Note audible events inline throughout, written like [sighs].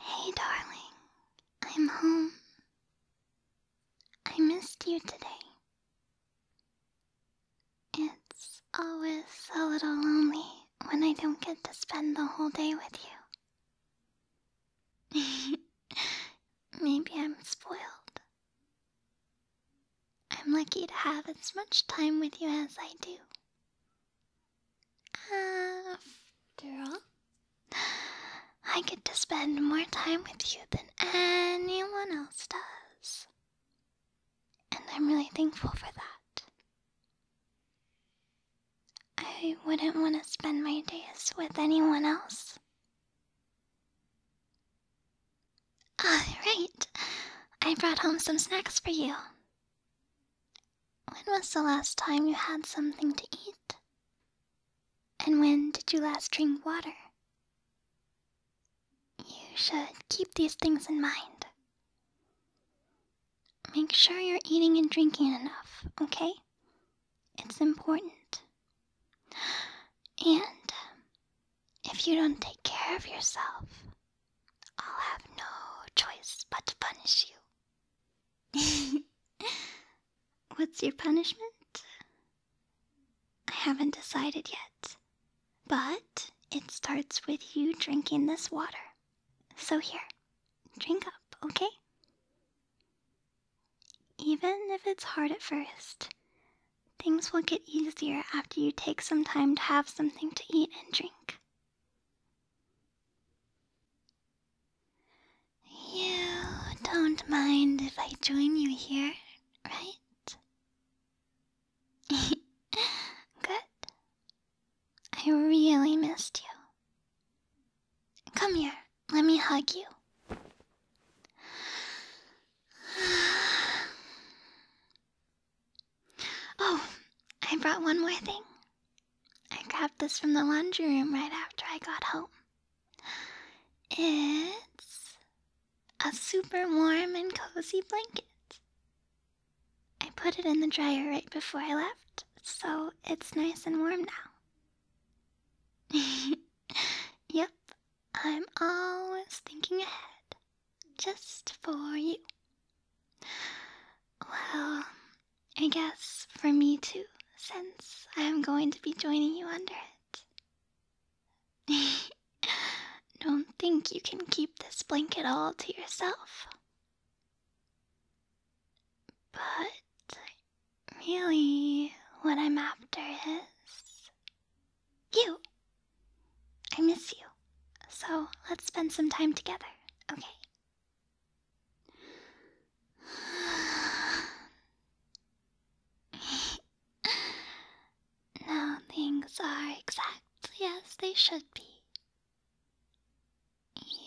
Hey, darling, I'm home. I missed you today. It's always a little lonely when I don't get to spend the whole day with you. [laughs] Maybe I'm spoiled. I'm lucky to have as much time with you as I do. After all, I get to spend more time with you than anyone else does. And I'm really thankful for that. I wouldn't want to spend my days with anyone else. Alright, I brought home some snacks for you. When was the last time you had something to eat? And when did you last drink water? You should keep these things in mind. Make sure you're eating and drinking enough, okay? It's important. And if you don't take care of yourself, I'll have no choice but to punish you. [laughs] What's your punishment? I haven't decided yet, but it starts with you drinking this water. So here, drink up, okay? Even if it's hard at first, things will get easier after you take some time to have something to eat and drink. You don't mind if I join you here, right? [laughs] Good. I really missed you. Come here, let me hug you. [sighs] [sighs] Oh, I brought one more thing. I grabbed this from the laundry room right after I got home. It's a super warm and cozy blanket. I put it in the dryer right before I left, so it's nice and warm now. [laughs] yep, I'm always thinking ahead. Just for you. Well, I guess for me too, since I'm going to be joining you under it. [laughs] Don't think you can keep this blanket all to yourself. But really, what I'm after is you! I miss you. So let's spend some time together, okay? [sighs] now things are exactly as they should be.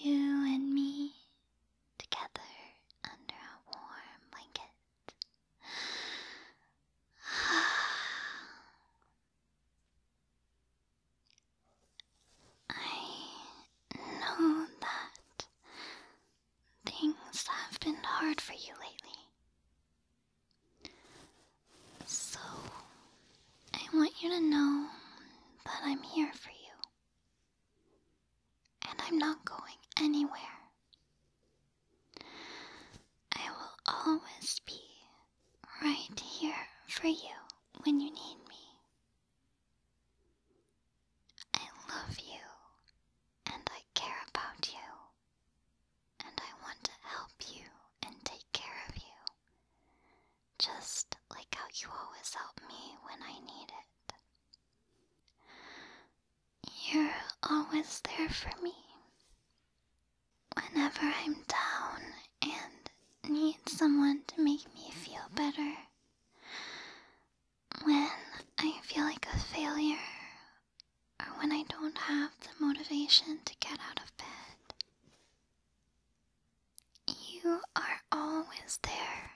You and me together under a warm blanket. [sighs] [sighs] I know that things have been hard for you lately. So, I want you to know that I'm here for you. And I'm not going anywhere. I will always be right here for you when you need me. I love you and I care about you and I want to help you and take care of you just like how you always help me when I need it. You're always there for me. Whenever I'm down and need someone to make me feel better, when I feel like a failure, or when I don't have the motivation to get out of bed, you are always there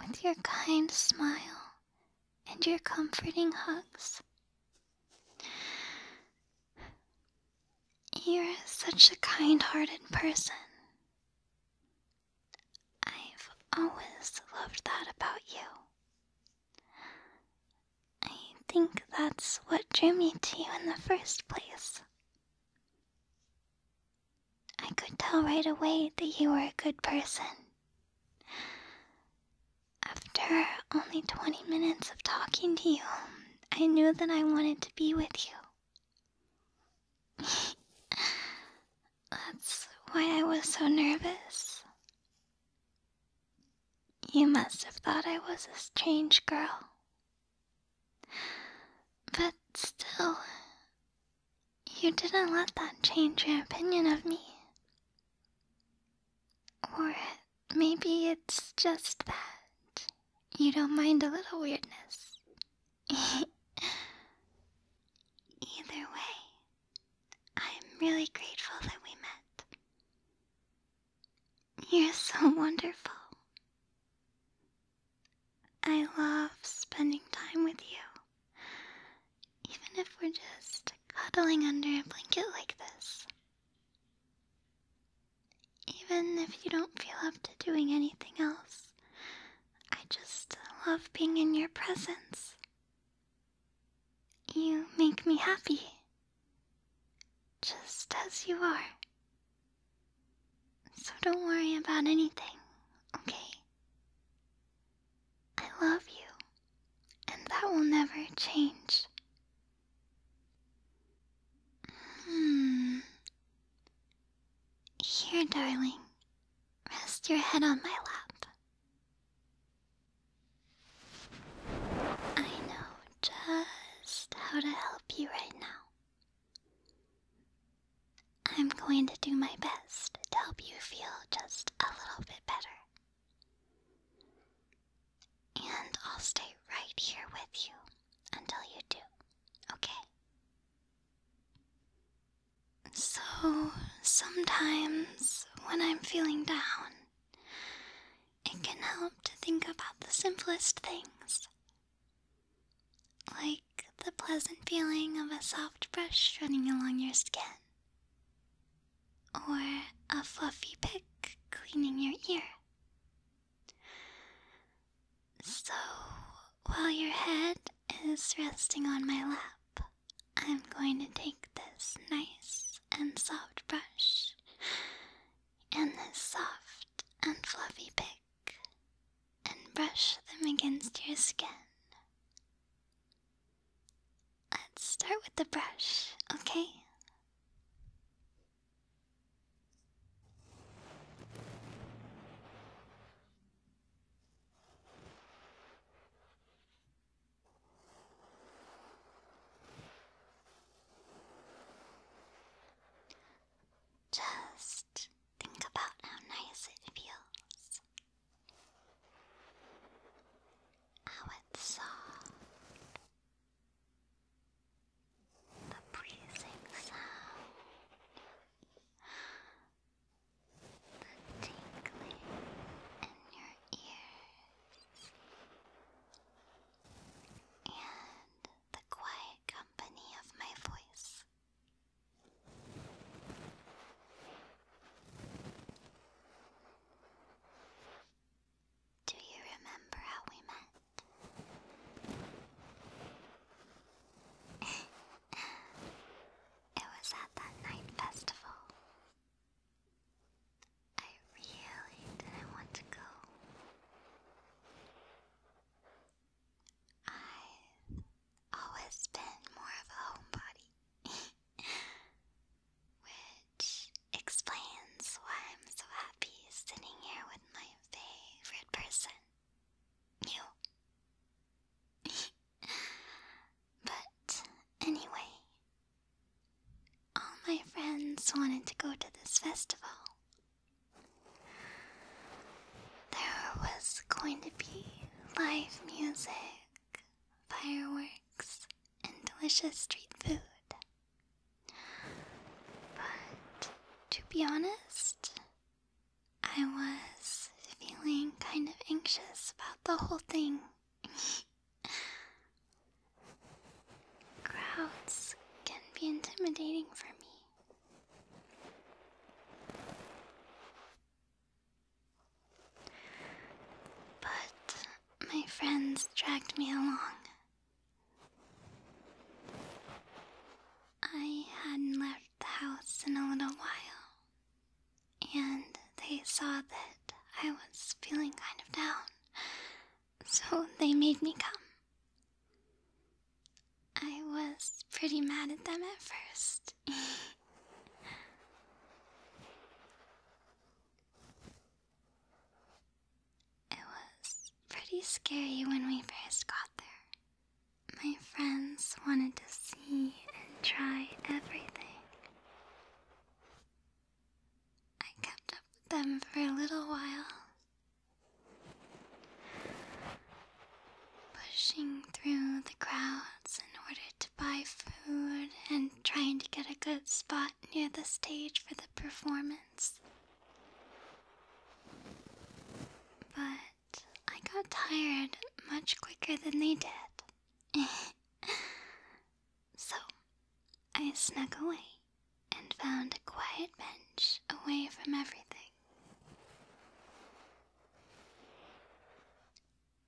with your kind smile and your comforting hugs. You're such a kind hearted person. I've always loved that about you. I think that's what drew me to you in the first place. I could tell right away that you were a good person. After only 20 minutes of talking to you, I knew that I wanted to be with you. [laughs] That's why I was so nervous. You must have thought I was a strange girl. But still, you didn't let that change your opinion of me. Or maybe it's just that you don't mind a little weirdness. [laughs] Either way, I'm really grateful that we met. You're so wonderful. I love spending time with you even if we're just cuddling under a blanket like this. Even if you don't feel up to doing anything else, I just love being in your presence. You make me happy, just as you are. So don't worry about anything, okay? I love you, and that will never change. Hmm. Here, darling, rest your head on my lap. I know just how to help you right now. I'm going to do my best to help you feel just a little bit better. And I'll stay right here with you until you do, okay? So, sometimes when I'm feeling down, it can help to think about the simplest things. Like the pleasant feeling of a soft brush running along your skin, or a fluffy pick cleaning your ear. So while your head is resting on my lap, I'm going to take this nice and soft brush and this soft and fluffy pick and brush them against your skin. Let's start with the brush, okay? Just think about how nice it feels how oh, it saw uh, the breezing sound, the tingling in your ears, and the quiet company of my voice. Do you remember how we met? it was at that night festival. I really didn't want to go. I always been more of a homebody, [laughs] which explains why I'm so happy sitting here with my favorite person, you. [laughs] but anyway, all my friends wanted to go to this festival. There was going to be live music fireworks, and delicious street food. But to be honest, I was feeling kind of anxious about the whole thing. [laughs] Crowds can be intimidating for me. But my friends dragged me along. I hadn't left the house in a little while, and they saw that I was feeling kind of down, so they made me come. I was pretty mad at them at first. [laughs] it was pretty scary when we first got there. My friends wanted to see and try everything. I kept up with them for a little while pushing through the crowds in order to buy food and trying to get a good spot near the stage for the performance. But I got tired much quicker than they did. [laughs] so I snuck away and found a quiet bench away from everything.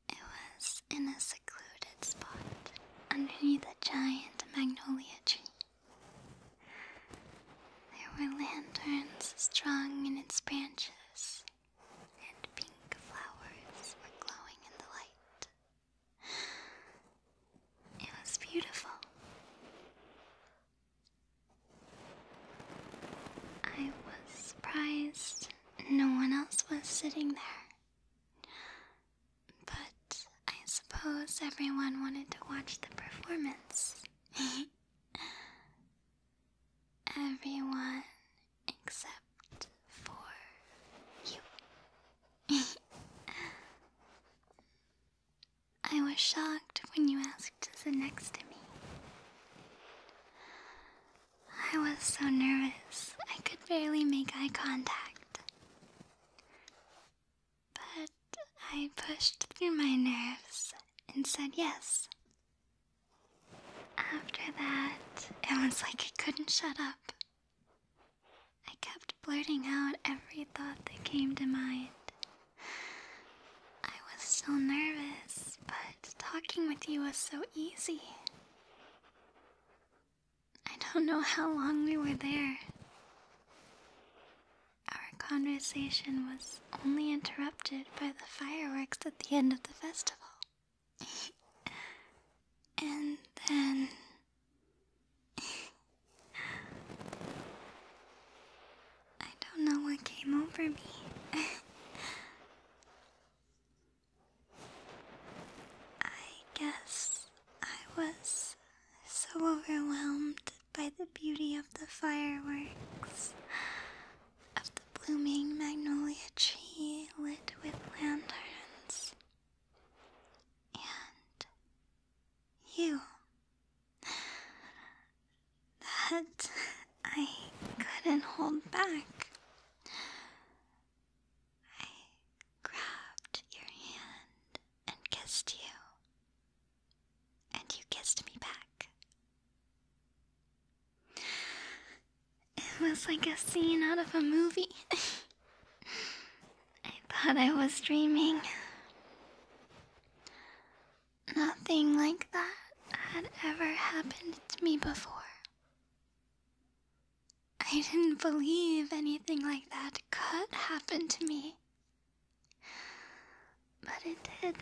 It was in a secluded spot underneath a giant magnolia tree. There were lanterns strung in its branches, and pink flowers were glowing in the light. It was beautiful. I was surprised no one else was sitting there. But I suppose everyone wanted to watch the performance. [laughs] everyone except for you. [laughs] I was shocked when you asked desk to sit next to me. I was so nervous I could barely make eye contact. But I pushed through my nerves and said yes. After that, it was like I couldn't shut up. I kept blurting out every thought that came to mind, I was so nervous, but talking with you was so easy. I don't know how long we were there. Our conversation was only interrupted by the fireworks at the end of the festival. [laughs] and then. [laughs] I don't know what came over me. [laughs] I guess I was so overwhelmed by the beauty of the fireworks, of the blooming magnolia tree lit with lanterns, and you that I couldn't hold back. I grabbed your hand and kissed you, and you kissed me back. It was like a scene out of a movie. [laughs] I thought I was dreaming. Nothing like that had ever happened to me before. I didn't believe anything like that could happen to me. But it did.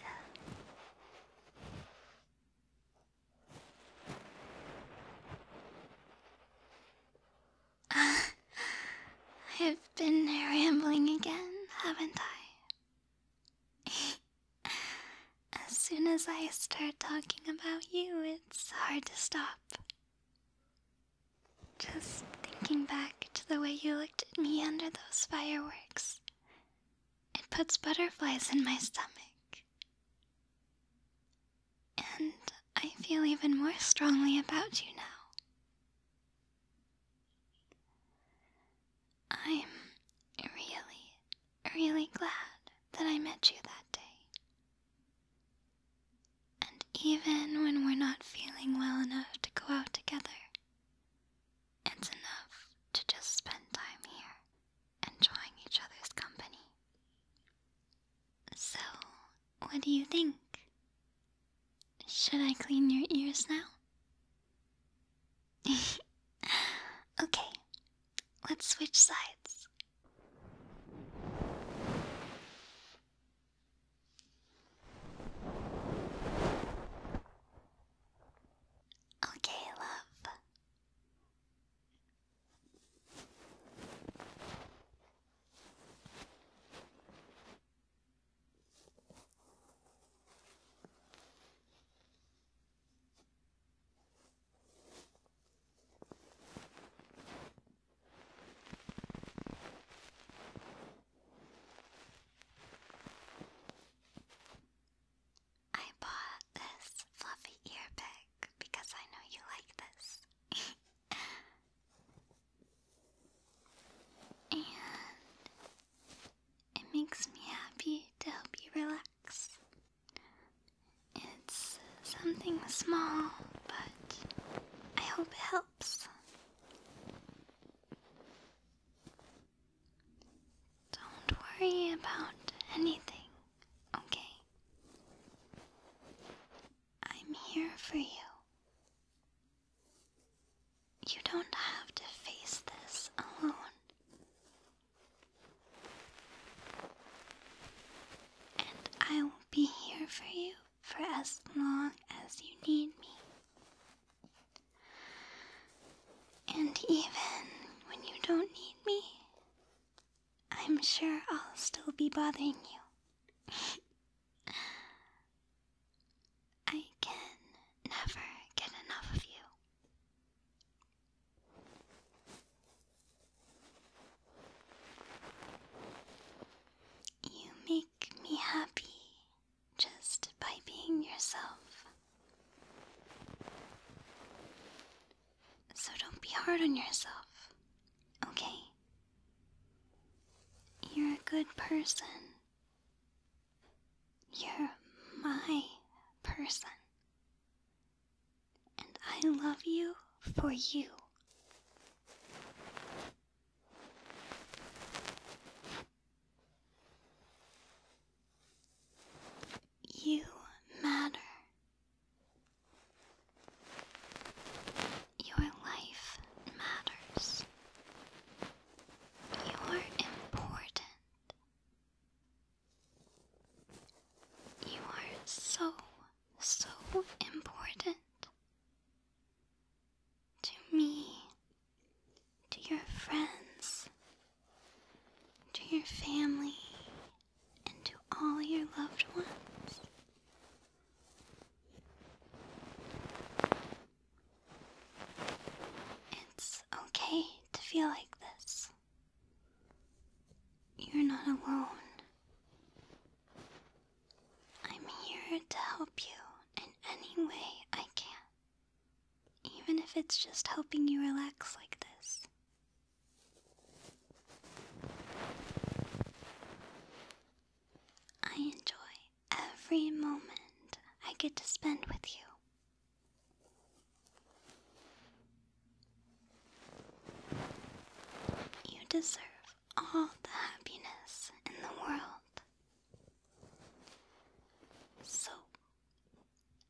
[laughs] I've been rambling again, haven't I? as soon as I start talking about you, it's hard to stop. Just thinking back to the way you looked at me under those fireworks, it puts butterflies in my stomach. And I feel even more strongly about you now. I'm really, really glad that I met you that day. And even when we're not feeling well enough to go out together, it's enough to just spend time here, enjoying each other's company. So, what do you think? Should I clean your ears now? [laughs] okay, let's switch sides. Okay, love. I bought this fluffy ear pick because I know you like this. [laughs] And it makes me happy to help you relax. It's something small, but I hope it helps. Don't worry about anything, okay? I'm here for you. You don't have to face this alone. And I will be here for you for as long as you need me. And even when you don't need me, I'm sure I'll still be bothering you. [laughs] I can never get enough of you. You make me happy just by being yourself. So don't be hard on yourself, okay? You're a good person. You're my person. And I love you for you. You matter. Your life matters. You are important. You are so, so important to me, to your friends, to your family, and to all your loved ones. It's okay to feel like this. You're not alone. I'm here to help you in any way I can, even if it's just helping you relax like this. I enjoy every moment I get to spend with you. You deserve all the happiness in the world. So,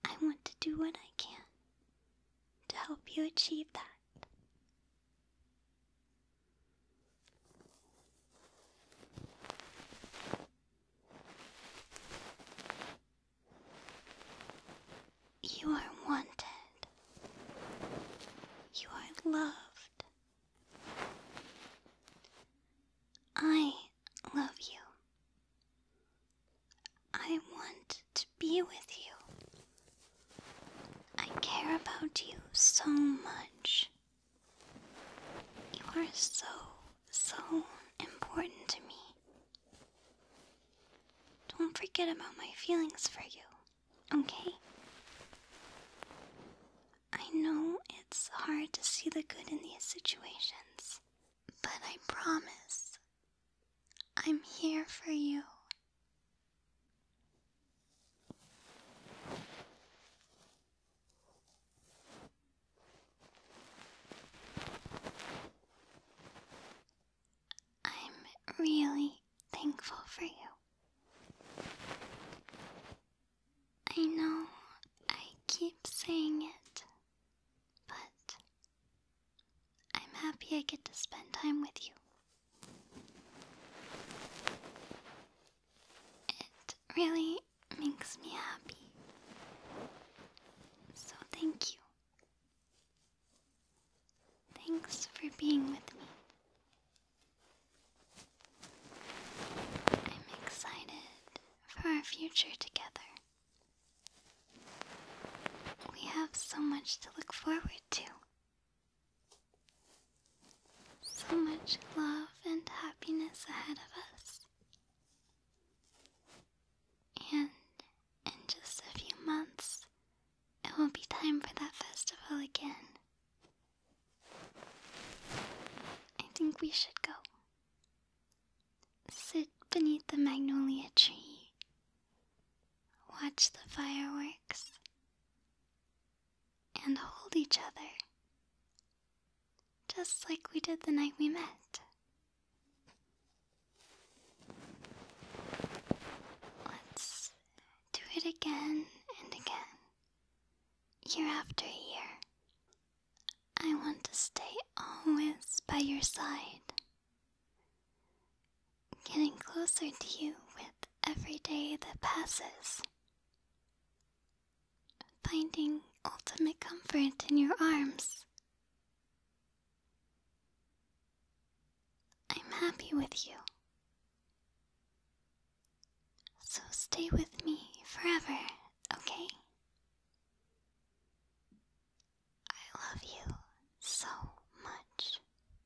I want to do what I can to help you achieve that. You are wanted. You are loved. I love you. I want to be with you. I care about you so much. You are so, so important to me. Don't forget about my feelings for you, okay? I know it's hard to see the good in these situations, but I promise I'm here for you I'm really thankful for you. I know I keep saying it, but I'm happy I get to spend time with you. It really makes me happy. So thank you. Thanks for being with me. I'm excited for our future together. We have so much to look forward to. So much love and happiness ahead of us. And in just a few months, it will be time for that festival again. I think we should go. Sit beneath the magnolia tree watch the fireworks, and hold each other, just like we did the night we met. Let's do it again and again, year after year. I want to stay always by your side getting closer to you with every day that passes, finding ultimate comfort in your arms. I'm happy with you. So stay with me forever, okay? I love you so much.